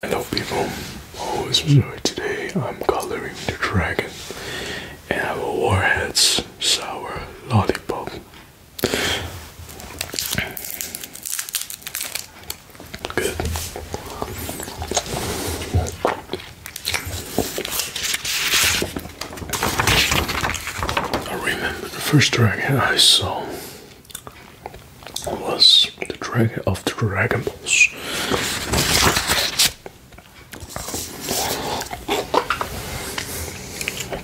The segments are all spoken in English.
Hello people, oh it's today, I'm coloring the dragon and I have a Warheads Sour Lollipop. Good. I remember the first dragon I saw was the dragon of the Dragon Balls.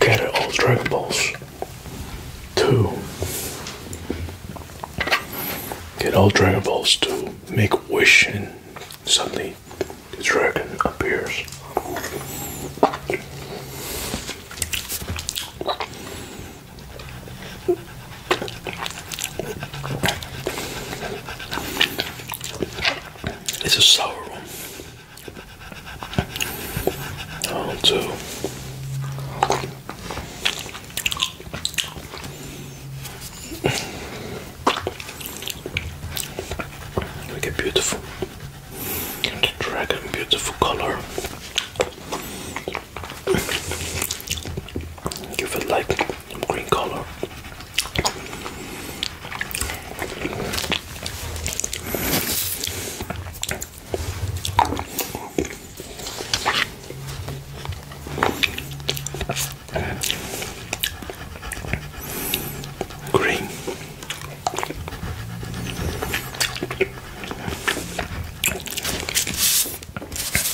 Get all Dragon Balls. Two. Get all Dragon Balls to make a wish and suddenly the dragon appears. It's a sour one. Oh, too. Like a beautiful dragon, beautiful color. Give it like some green color. Green.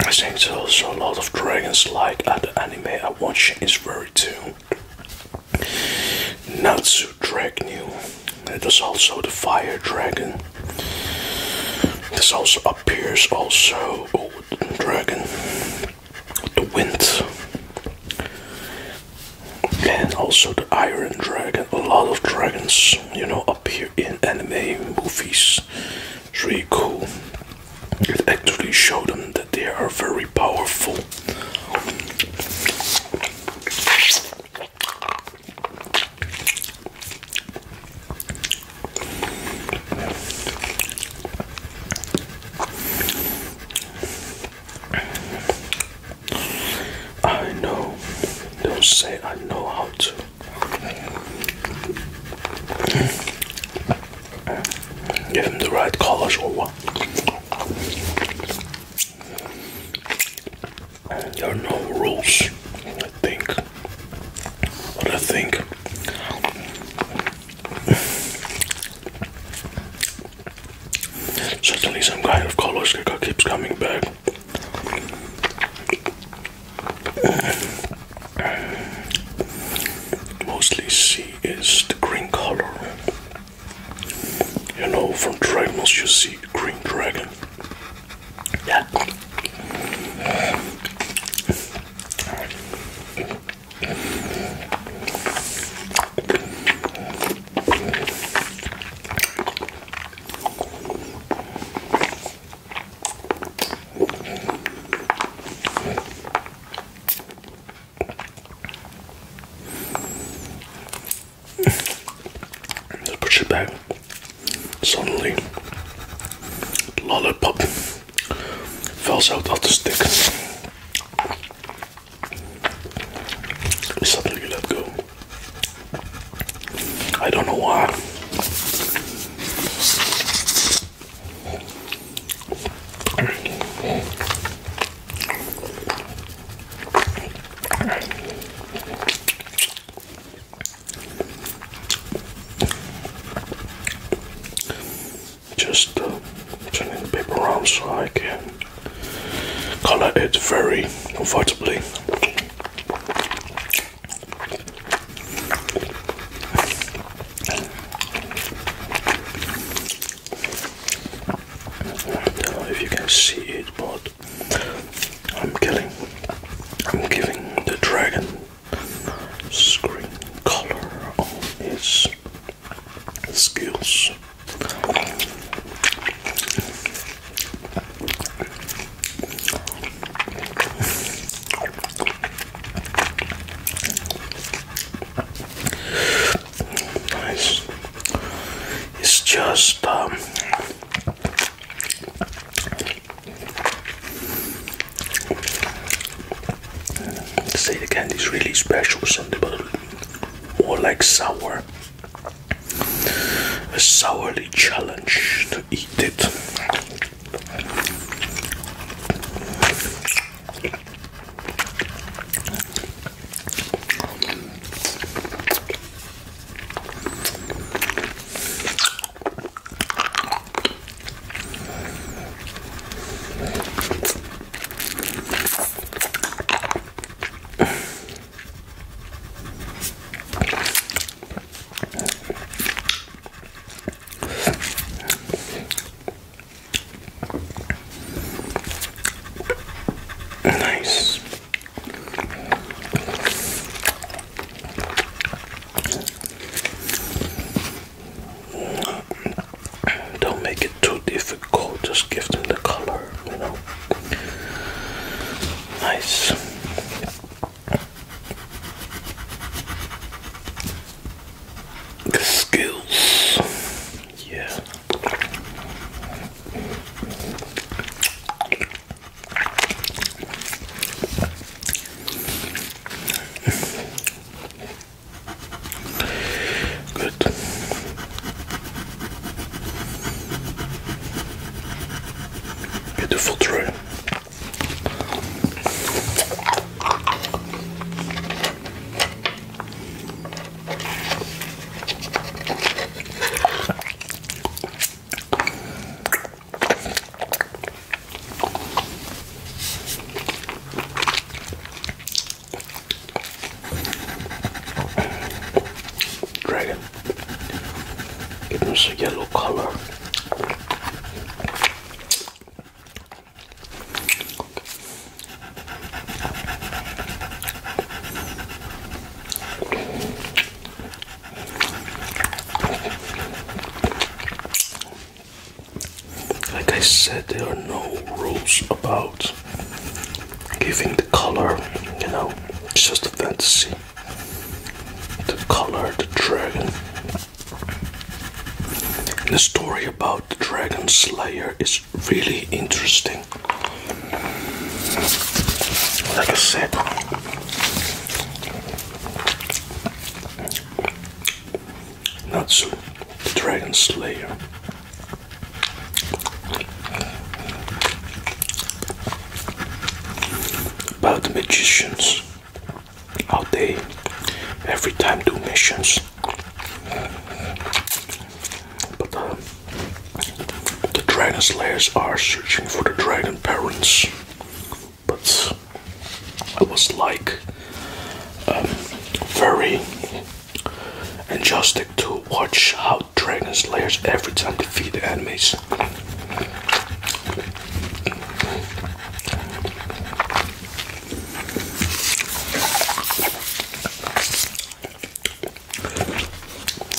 I think there's also a lot of dragons like other anime I watch is very too. Natsu Dragon. There's also the fire dragon. This also appears also oh, dragon. The wind and also the Iron Dragon. A lot of dragons, you know, appear in anime movies. It's really cool. It actually shows them that they are very powerful. I know. Don't say I know how to. Give him the right colors or what? There are no rules, I think. But I think certainly some kind of color colors keeps coming back. Mostly see is the green color. You know, from Dragons you see green dragon. Yeah push it back. Suddenly, lollipop falls out of the stick. Suddenly, you let go. I don't know why. Just uh, turning the paper around so I can colour it very comfortably. if you can see it, but I'm killing, I'm giving the dragon screen color on its skills. It's just um say the candy is really special or something, but more like sour. A sourly challenge to eat it. Nice. Don't make it too difficult, just give them the color you know. Nice. skills. Yeah. Good. Beautiful tree. Dragon. Give us a yellow color. Like I said, there are no rules about giving the color, you know, it's just a fantasy the color, the dragon. the story about the dragon slayer is really interesting. Like I said, not so the dragon slayer about the magicians how they every time do missions but um, the dragon slayers are searching for the dragon parents but I was like um, very and just to watch how Dragon Slayers every time defeat the enemies.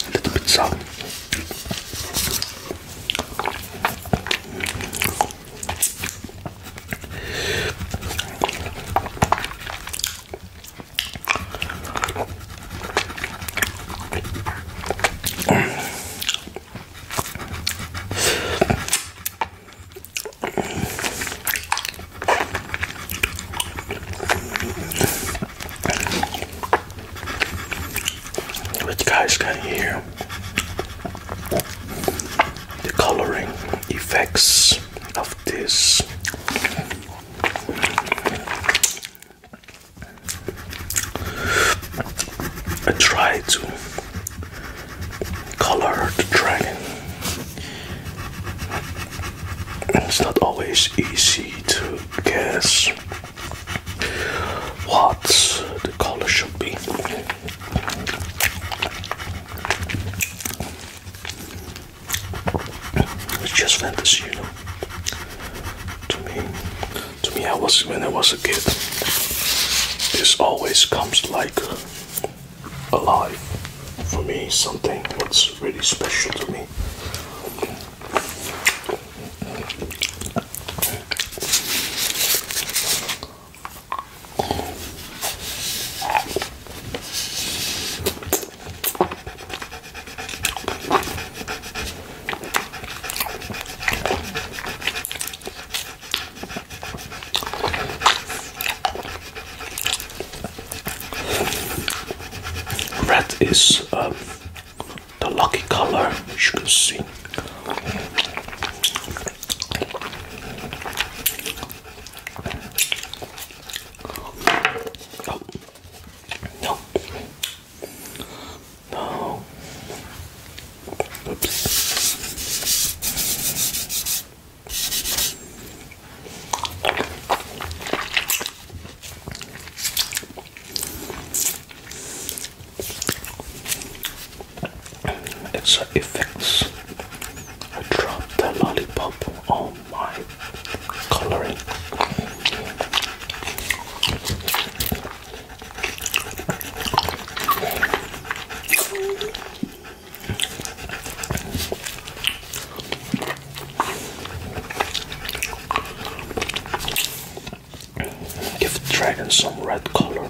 A little bit sour. But guys can hear the coloring effects of this. I try to color the dragon. It's not always easy to guess what the color should be. just fantasy, you know. To me, to me, I was when I was a kid. This always comes like alive for me. Something that's really special to me. Red is um, the lucky color, as you can see. Oh. No. No. Oops. It's effects. I dropped the lollipop. Oh my colouring. Give the dragon some red color.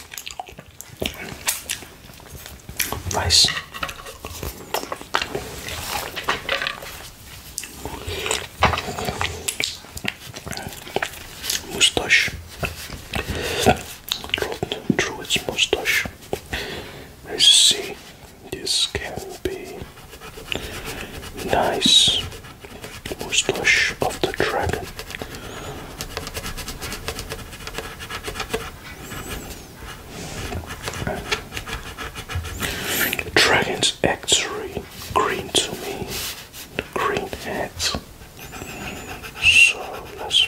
Nice. Moustache. Rolled its moustache. As you see, this can be nice mustache of the dragon. Dragons actually green to me, green heads. So let's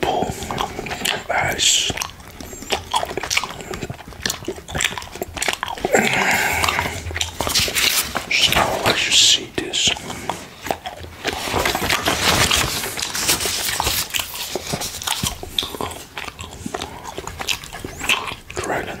Pull ice. now let you see this. Dragon.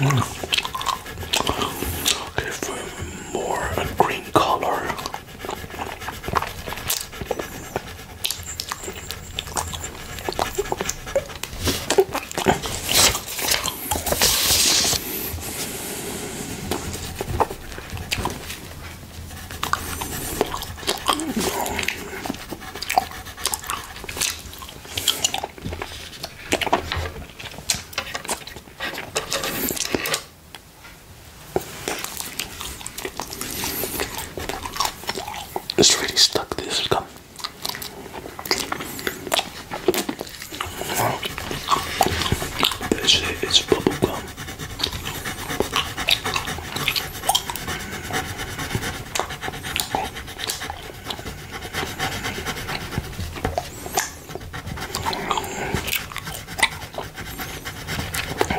Mm. Give um, more a green color. It's really stuck this gum. It's, it's bubble gum.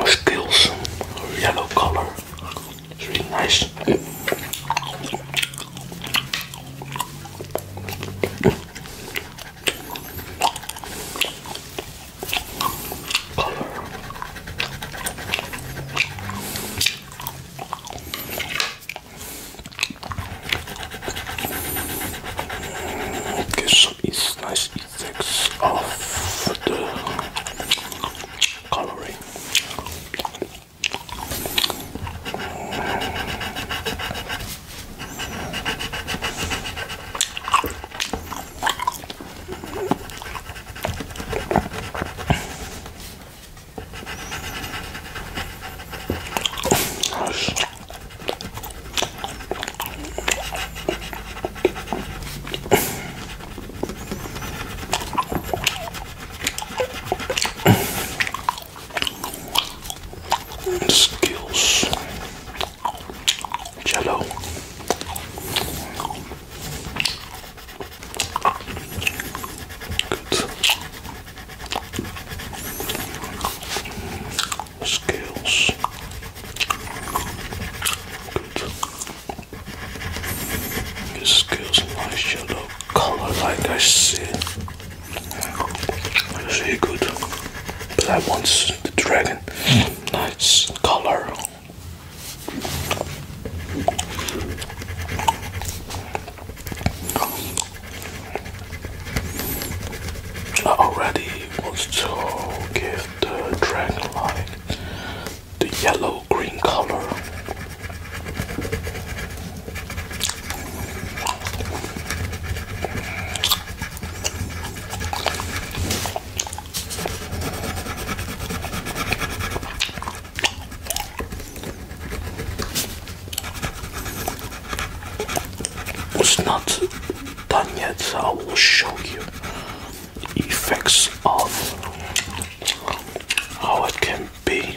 Skills, yellow color, it's really nice. Color. Get some nice effects of the coloring. Skills Jello. Good. Skills. Good. This skills and light shadow color like I said. It's really good. But I want the dragon. Nice color. I already was to give the dragon light the yellow green color was not done yet, so I will show you the effects of how it can be.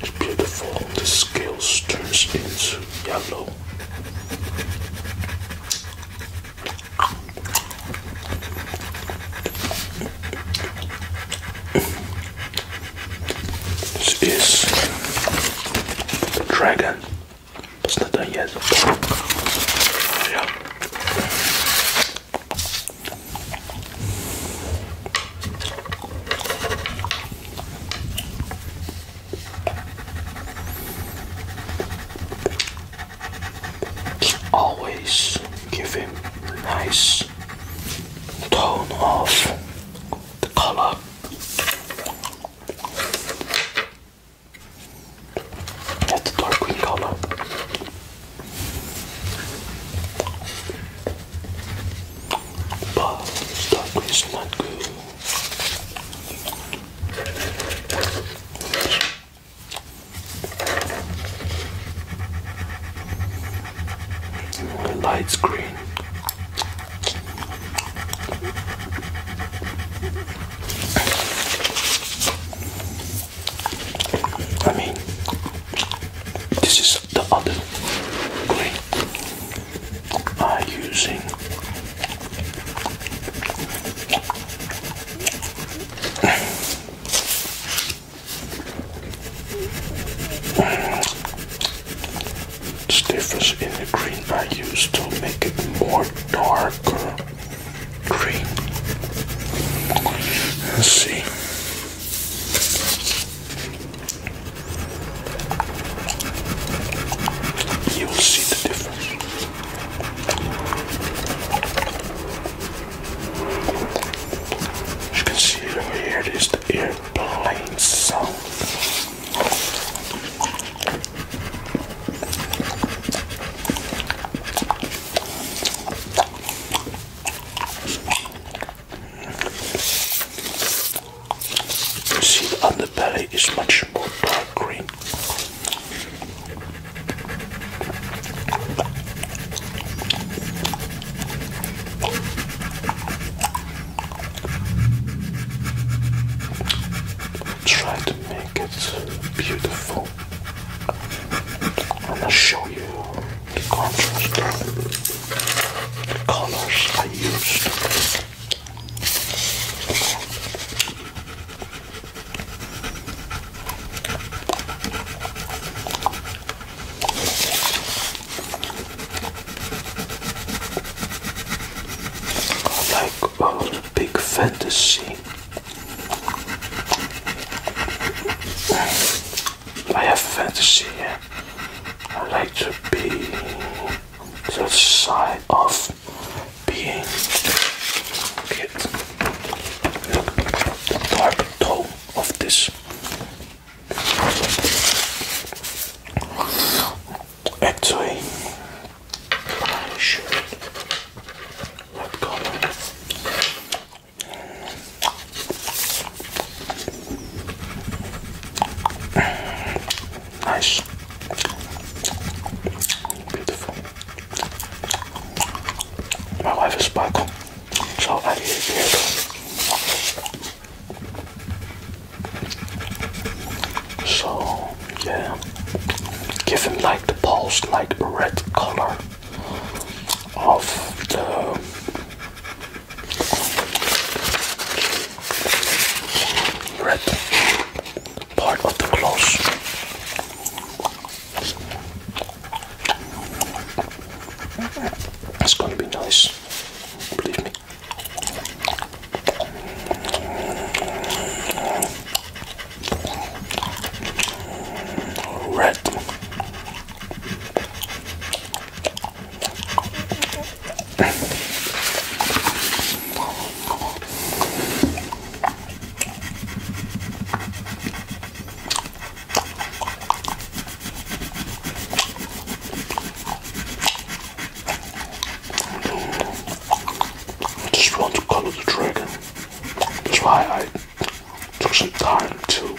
It's beautiful. The scales turns into yellow. This is dragon. It's not done yet. Oh, yeah. Always give him a nice tone of the color. That's the dark green color. But stuff is not good. The light's green. I mean, this is the other green are using this difference in the green I use to make it more darker green. Let's see. You'll see the difference. You can see over here it is the airplane sound. You see the underbelly is much more dark green. Try to make it beautiful, and I'll show you the contrast the colors I used. Like a big fantasy. I have fantasy. I like to be the side of being it. Look, dark tone of this. Actually, I should. What color? Nice. Beautiful. My wife is back, so yeah, give like the pulse, like red color of the red part of the clothes. It's gonna be nice, believe me. Red. I just want to color the dragon. That's why I took some time to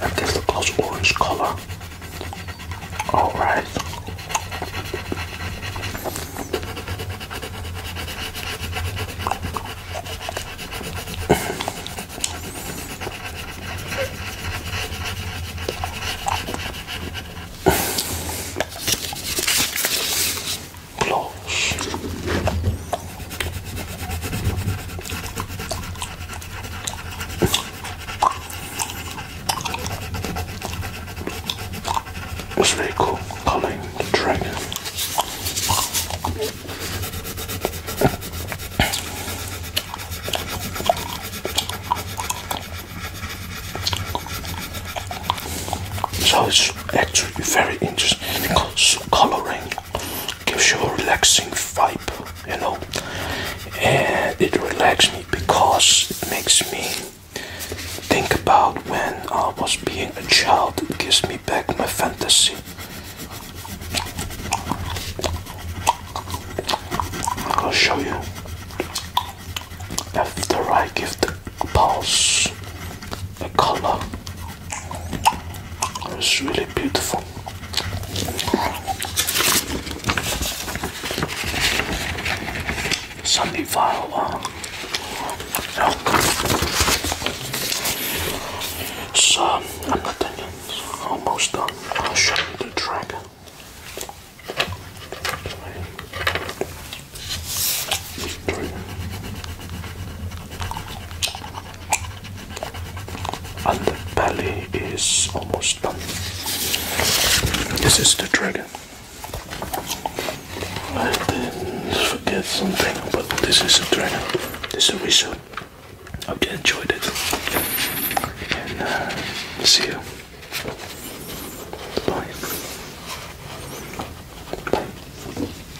That gives a close orange color. All right. It's really cool, calling the dragon. So it's actually very interesting because coloring gives you a relaxing vibe, you know, and it relaxes me because it makes me think about when I was being a child. It gives me back my fantasy. I'll show you after I give the pulse a color. It's really beautiful. Sunday file. Um, so um, I'm not done Almost done. I'll show you the dragon and the belly is almost done. This is the dragon. I didn't forget something, but this is a dragon. This is a result. I hope you enjoyed it. And uh, see you. Bye.